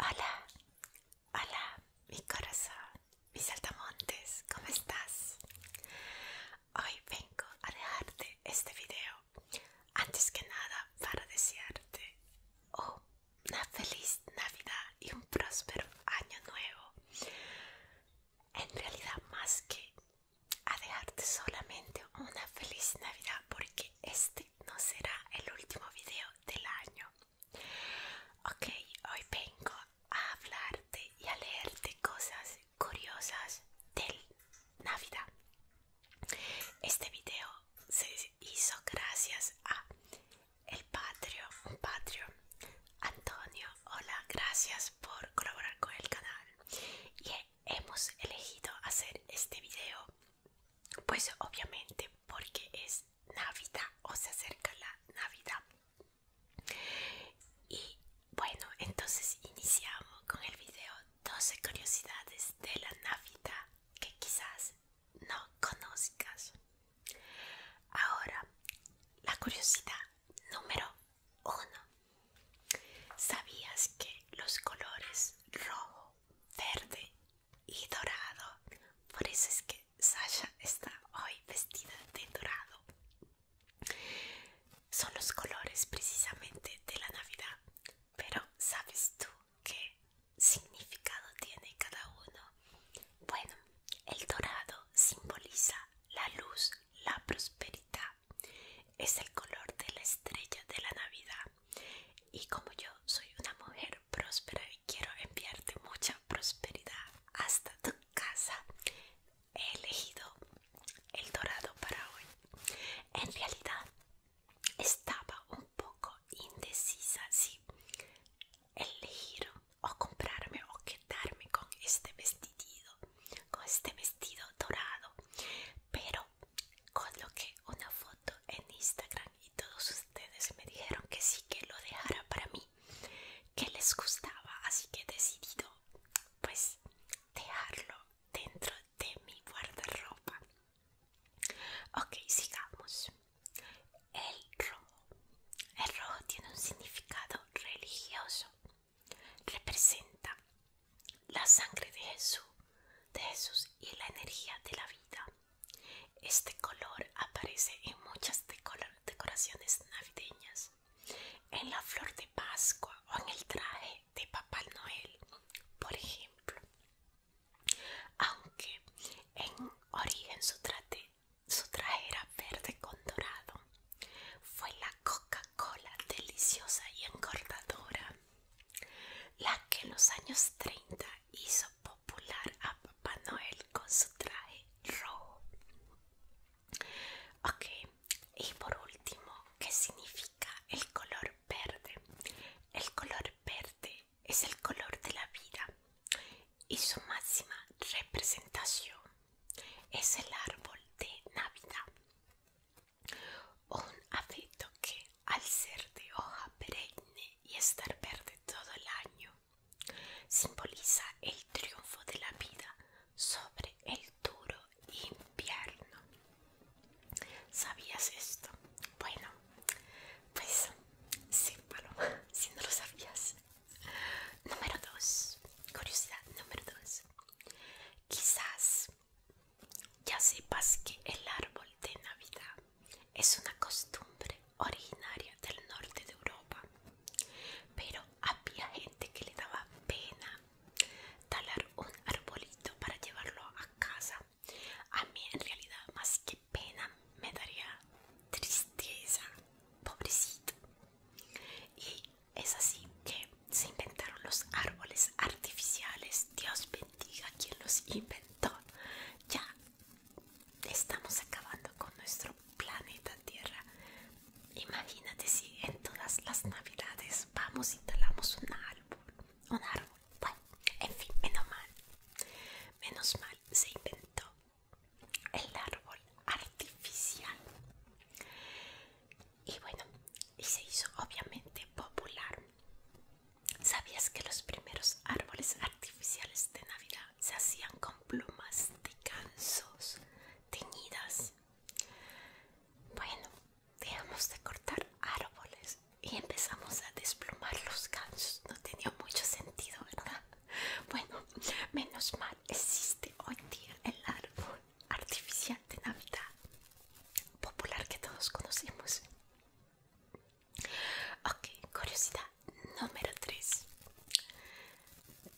Hola, hola, mi corazón, mis saltamontes, ¿cómo estás? Hoy vengo a dejarte este video, antes que nada para desearte una feliz Navidad y un próspero año nuevo. En realidad, más que a dejarte solamente una feliz Navidad, porque este este no será el último video del año. Ok, hoy vengo a hablarte y a leerte cosas curiosas del Navidad. Este video se hizo gracias a el patrio Patreon. Antonio, hola, gracias por colaborar con el canal. Y hemos elegido hacer este video pues obviamente porque es Navidad o se acerca la Navidad. Y bueno, entonces iniciamos con el video 12 curiosidades de la Navidad que quizás no conozcas. Ahora, la curiosidad número 1. ¿Sabías que los colores rojo, verde y dorado. Por eso es que Sasha está hoy vestida de dorado. Son los colores precisamente de la Navidad. Pero ¿sabes tú qué significado tiene cada uno? Bueno, el dorado simboliza la luz, la prosperidad. Es el color de la estrella de la Navidad y como yo soy una mujer próspera y quiero enviarte mucha prosperidad hasta tu casa, he elegido el dorado para hoy. En realidad estaba un poco indecisa si elegir o comprarme o quedarme con este vestidito, con este vestido dorado, pero coloqué una foto en Instagram y todos ustedes me dijeron que sí que lo dejara para mí, que les gustaba, así que he decidido pues dejarlo dentro de mi guardarropa. Ok, sigamos. El rojo. El rojo tiene un significado religioso. Representa la sangre de Jesús, de Jesús y la energía de la vida. Este color aparece en muchas decoraciones navideñas, en la flor de Pascua o en el traje de Papá Noel, por ejemplo. Aunque en origen su, su traje era verde con dorado, fue la Coca-Cola deliciosa y engordadora la que en los años 30 hizo popular a Papá Noel con su traje rojo. Ok, y por último, ¿qué significa el color verde? El color verde es el color de la vida y su máxima representación es el árbol de Navidad. Un afecto que, al ser de hoja perenne y estar verde todo el año, simboliza el triunfo de la vida sobre el duro invierno. ¿Sabías esto? Bueno, pues sí, si no lo sabías. Número 2. Curiosidad número 2. Quizás ya sepas que el árbol de Navidad es una costumbre originaria del norte de Europa, pero había gente que le daba pena talar un arbolito para llevarlo a casa. A mí en realidad más que pena me daría tristeza, pobrecito. Y es así que se inventaron los árboles artificiales. Dios bendiga quien los inventó. Ya estamos acabando con nuestro planeta Tierra. Imagínate si en todas las navidades vamos y talamos un árbol. Un árbol. Bueno, en fin, menos mal. Menos mal se inventó el árbol artificial y bueno y se hizo obviamente popular sabías que los primeros árboles artificiales de navidad se hacían con plumas de gansos teñidas bueno dejamos de cortar árboles y empezamos a desplumar los gansos no tenía mucho sentido verdad bueno menos mal existe hoy día el árbol artificial de Navidad popular que todos conocemos. Ok, curiosidad número 3.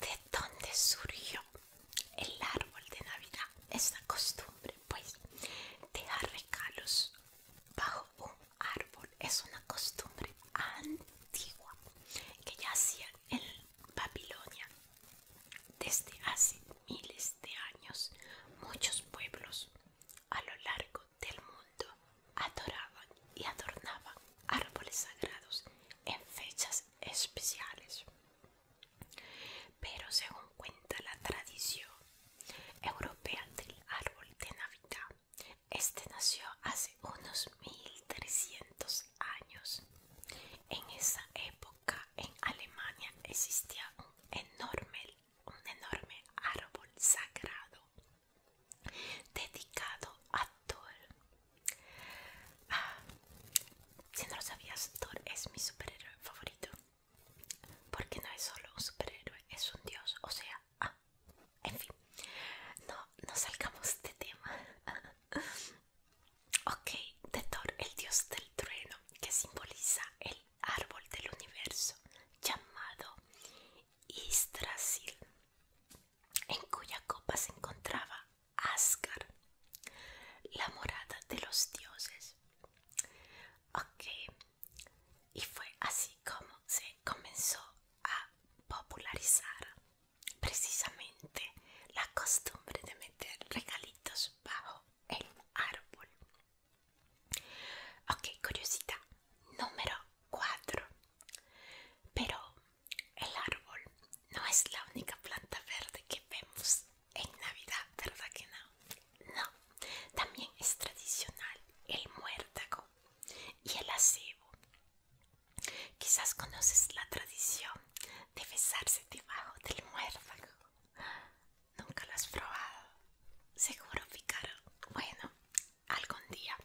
¿De dónde surgió el árbol de Navidad? Esta costumbre, pues, de regalos bajo un árbol es una costumbre antigua que ya hacía en Babilonia desde hace miles este años, muchos pueblos a lo largo del mundo adoraban y adornaban árboles sagrados en fechas especiales. Pero según cuenta la tradición europea del árbol de Navidad, este nació hace unos 1300 años en esa época en Alemania existía un enorme, un enorme árbol sagrado dedicado a Thor. Ah, si no lo sabías, Thor es mi superhéroe favorito. Porque no es solo un superhéroe, es un dios. O sea, ah, en fin, no, no salgamos de tema. Ok, de Thor, el dios del trueno, que simboliza el árbol del universo llamado Yggdrasil, en cuya copa se encontraba Asgard, la morada de los dioses. Ok, y fue así como se comenzó a popularizar precisamente la costumbre de meter regalitos bajo el árbol. Ok, curiosidad número 4. Pero el árbol no es la única planta verde que vemos en Navidad, ¿verdad que no? No, también es tradicional el muértago y el acebo. Quizás conoces la tradición de besarse debajo del muérdago. Nunca las has probado. Seguro ficaron Bueno, algún día.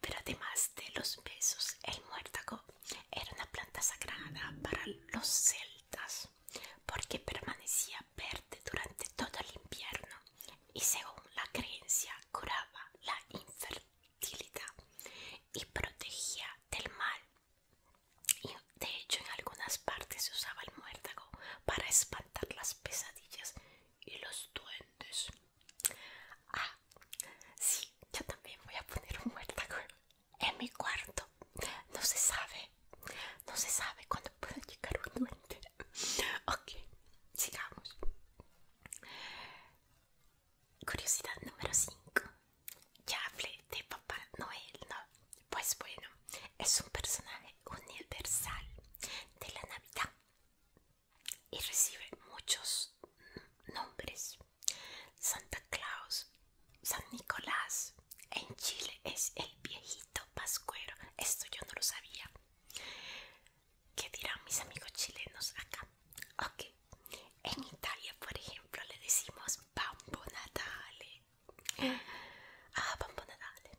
Pero además de los besos, el muértago era una planta sagrada para los celtas porque permanecía verde durante todo el invierno y según la creencia curaba la infertilidad y protegía del mal y de hecho en algunas partes se usaba el muérdago para espantar las pesadillas y los duendes. Ah, sí, yo también voy a poner un muérdago en mi cuarto. No se sabe, no se sabe cuándo puede llegar un duende. Ok, sigamos. Curiosidad número 5. Ya hablé de Papá Noel, ¿no? Pues bueno, es un personaje universal de la Navidad y recibe muchos nombres. Santa Claus, San Nicolás, en Chile es el viejito pascuero. Esto yo no lo sabía. ¿Qué dirán mis amigos chilenos acá? Ok. En Italia, por ejemplo, le decimos Bambo Natale. Ah, Bambo Natale.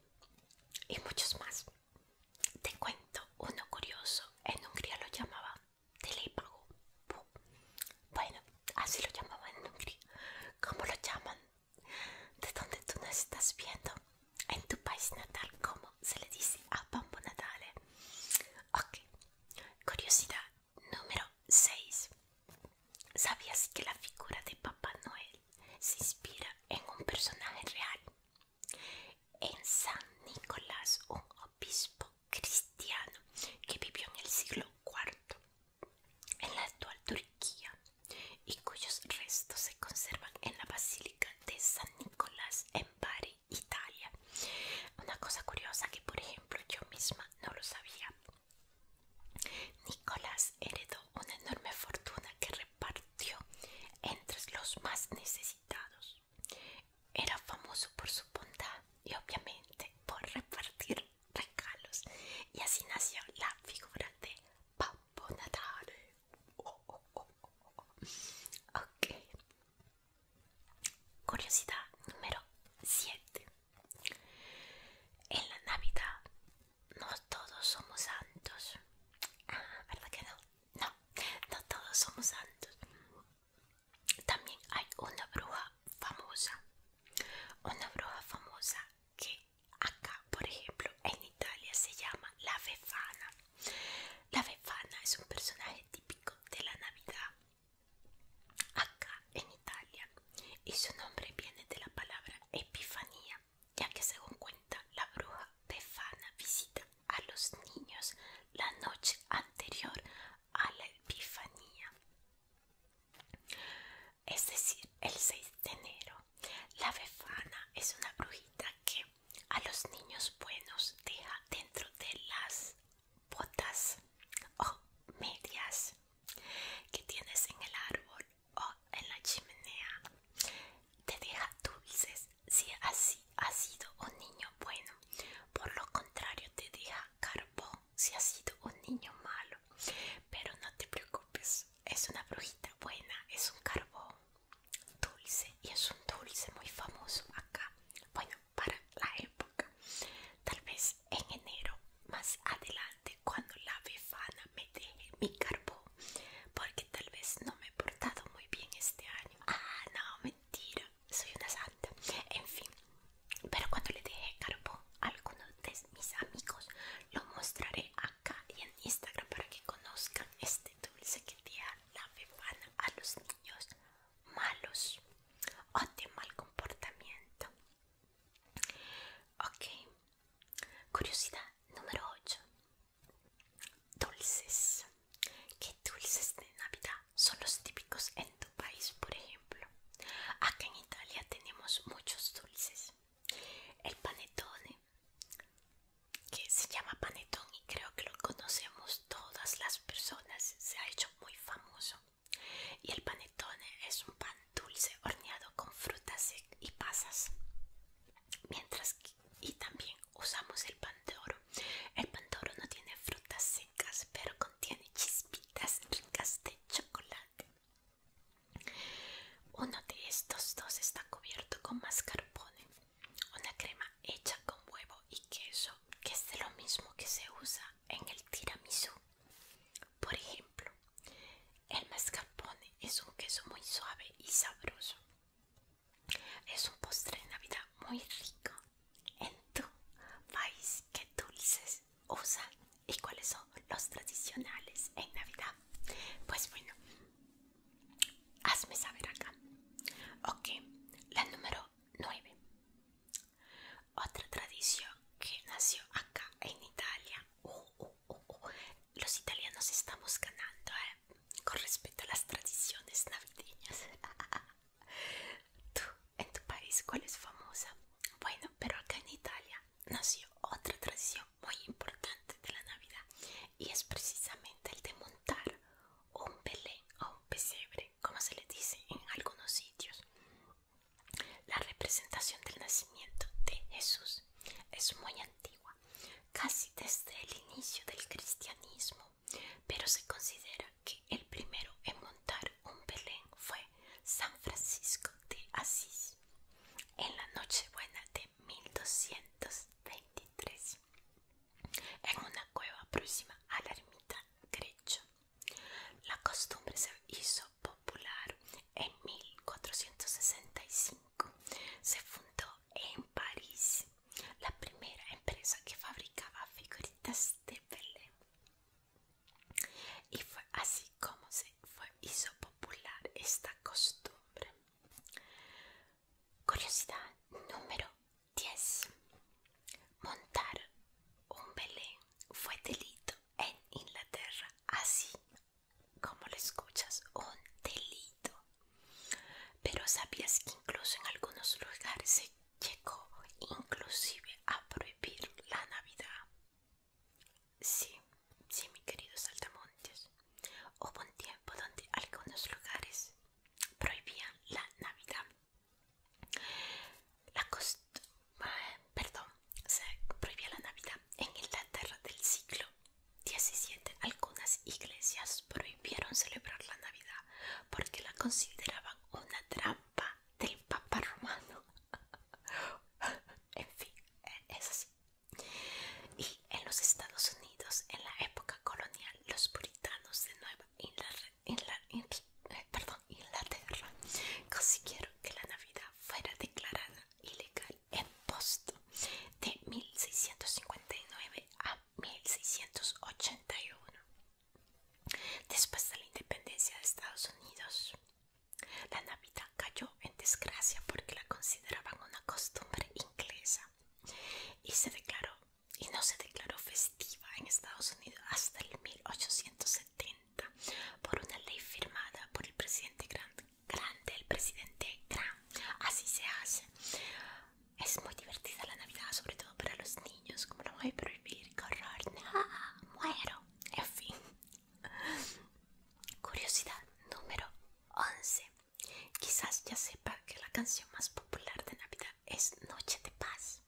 Y muchos más. Te cuento uno curioso. En Hungría lo llamaba Telepago. Bueno, así lo llamaban en Hungría. ¿Cómo lo llaman? De dónde tú nos estás viendo. En tu país natal, ¿cómo se le dice a Bambo Natale? Ok. Curiosidad. Número 6. ¿Sabías que la figura de Papá Noel se inspira en un personaje real? En San Nicolás, un obispo cristiano que vivió en el siglo IV en la actual Turquía y cuyos restos se conservan en la Basílica de San Nicolás en Bari, Italia. Una cosa curiosa que por ejemplo yo misma no lo sabía. Nicolás heredó una enorme fortuna que repartió entre los más necesitados. Era famoso por su bondad y obviamente por repartir regalos y así nació la figura de Papo Natale. Curiosidad número 7. En la Navidad no todos somos santos. Ah, ¿verdad que no? No, no todos somos santos. También hay una bruja famosa. Una bruja famosa que acá, por ejemplo, en Italia se llama la Befana. La Befana es un personaje típico de la Navidad acá en Italia y su nombre viene de la palabra epifanía, ya que según cuenta la bruja Befana visita a los niños la noche anterior a la epifanía. Es decir, el 6 de enero. La Befana es una brujita que a los niños buenos deja dentro de las botas o medias que tienes en el árbol o en la chimenea te deja dulces si así ha sido un niño bueno por lo contrario te deja carbón si ha sido un niño malo pero no te preocupes es una brujita buena es un carbón dulce y es un dulce muy famoso acá bueno para la época. Tal vez en enero, más adelante, cuando la befana me deje mi carbón, porque tal vez no me he portado muy bien este año. Ah, no, mentira, soy una santa. En fin, pero cuando le deje carbón a algunos de mis amigos, lo mostraré acá y en Instagram para que conozcan este dulce que da la befana a los niños malos o de mal comportamiento. Ok. Curiosidad número 8. Dulces. ¿Qué dulces de Navidad son los típicos en tu país, por ejemplo? Aquí en Italia tenemos muchos dulces. El panettone, que se llama panettone y creo que lo conocemos todas las personas, se ha hecho muy famoso. Y el panettone es un pan dulce horneado con frutas y pasas. Mientras que, y también usamos el pan de oro. El pan no tiene frutas secas, pero contiene chispitas ricas de chocolate. Uno de estos dos está cubierto con mascarpone, una crema hecha con huevo y queso que es lo mismo que se usa en el tiramisú. Por ejemplo, el mascarpone es un queso muy suave y sabroso. Es un postre de Navidad muy rico. En tu país, ¿qué dulces usan y cuáles son los tradicionales en Navidad? Pues bueno, hazme saber acá. Ok, la número 9. Otra tradición que nació acá en Italia. Uh, uh, uh, Los italianos estamos ganando ¿eh? con respecto a las tradiciones navideñas. Tú, en tu país, ¿cuál es famosa? Bueno, pero acá en Italia nació otra tradición muy importante de la Navidad y es precisamente el de montar un Belén o un pesebre, como se le dice en algunos sitios. La representación del nacimiento de Jesús es muy antigua, casi desde el inicio del cristianismo, pero se considera que el primero en montar un Belén fue San Francisco de Asís en la Nochebuena de 1223 en una cueva próxima a la ermita Grecho. La costumbre se hizo popular en 1465. Se fundó en París la primera empresa que fabricaba figuritas de Belén. Y fue así como se hizo popular esta costumbre. Curiosidad número 10. Montar un Belén fue delito en Inglaterra, así como lo escuchas, un delito. Pero sabías que incluso en algunos lugares se llegó inclusive a prohibir la Navidad. Sí, sí, mi querido Saltamontes. Hubo un tiempo donde algunos lugares prohibían la Navidad. La costa, ah, perdón, se prohibía la Navidad en Inglaterra del siglo XVII. Algunas iglesias prohibieron celebrar la Navidad porque la consideraban una trampa del Papa Romano. en fin, eh, es así. Y en los Estados Unidos, en la época colonial, los puritanos de Nueva Inglaterra en la, en, la eh, Inglaterra consiguieron que la Navidad fuera declarada ilegal en posto de 1659 a 1681. Después de la independencia de Estados Unidos, la Navidad cayó en desgracia porque la consideraban una costumbre inglesa y se declaró y no se declaró festiva en Estados Unidos hasta el 1870 por una ley firmada por el presidente Grant. Grande, el presidente Grant. Así se hace. Es muy divertida la Navidad, sobre todo para los niños. Como lo voy a prohibir, correr muero. En fin. Curiosidad número 11. Quizás ya sepa que la canción más popular de Navidad es Noche de paz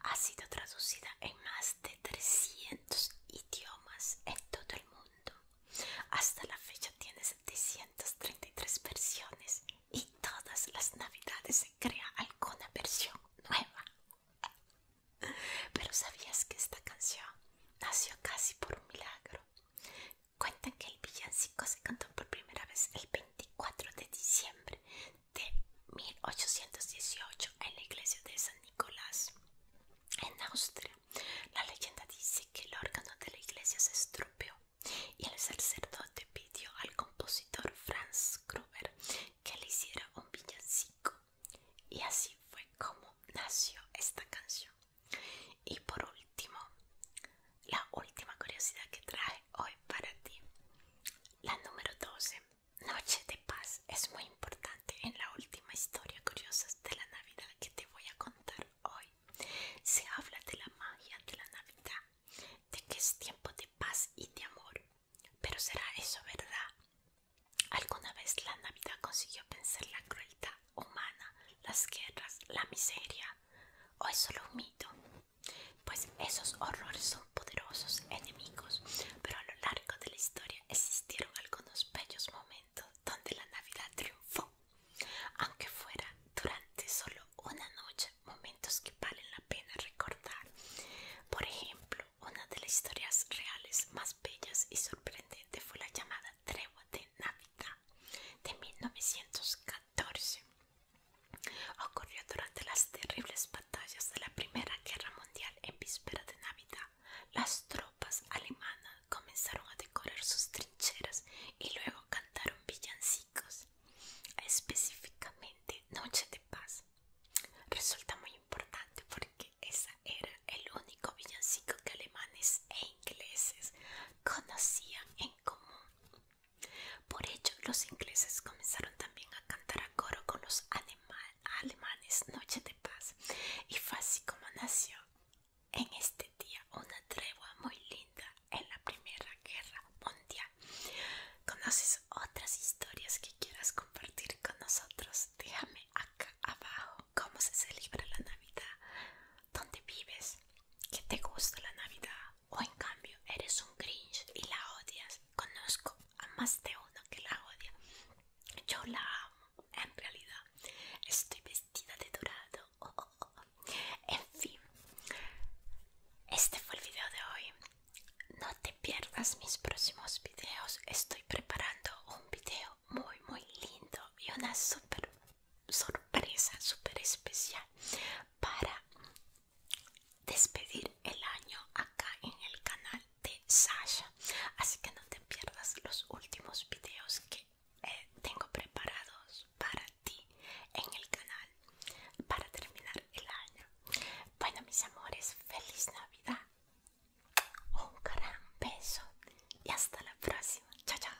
ha sido traducida en más de 300 idiomas en todo el mundo. Hasta la fecha tiene 733 versiones y todas las navidades se crea alguna versión nueva. Pero ¿sabías que esta canción nació casi por un milagro? Cuentan que el villancico se cantó por primera vez el 24 de diciembre de 1818 en la iglesia de San Nicolás, en Austria. La leyenda dice que el órgano de la iglesia se estropeó y el sacerdote pidió al compositor Franz Gruber que le hiciera un villancico. Y así fue como nació esta canción. Y por último, la última curiosidad que traje hoy para ti. La número 12. Noche de paz es muy importante en la última historia curiosa de la Navidad que te voy a contar hoy. Se habla de la magia de la Navidad, de que es tiempo de paz y de amor. Pero ¿será eso verdad? ¿Alguna vez la Navidad consiguió vencer la crueldad humana, las guerras, la miseria? ¿O es solo un mito? Pues esos horrores son poderosos enemigos, pero a lo largo de la historia existieron algunos bellos momentos donde la Navidad triunfó, aunque fuera durante solo una noche, momentos que valen la pena recordar. Por ejemplo, una de las historias reales más bellas y sorprendentes fue la llamada Tregua de Navidad de 1914. Ocurrió durante las terribles batallas de la Primera Guerra Mundial en víspera de Navidad. Las tropas alemanas comenzaron a decorar sus trincheras y luego cantaron villancicos, específicamente Noche de Paz. Resulta muy importante porque ese era el único villancico que alemanes e ingleses conocían en común. Por ello, los ingleses comenzaron también a cantar a coro con los alemanes, Noche de Paz, y fue así como nació en este día una tregua muy linda en la Primera Guerra Mundial. ¿Conoces otras historias que quieras compartir con nosotros? Déjame acá abajo cómo se celebra la Navidad dónde vives, que te gusta la Navidad o en cambio eres un cringe y la odias. Conozco a más de uno que la odia. Yo la amo, en realidad. Estoy vestida de dorado. En fin, este fue el video de hoy. No te pierdas mis próximos videos. Estoy preparando un video muy, muy lindo y una super sorpresa super especial para despedir el año acá en el canal de Sasha así que no te pierdas los últimos videos que eh, tengo preparados para ti en el canal para terminar el año bueno mis amores feliz navidad un gran beso y hasta la próxima chao chao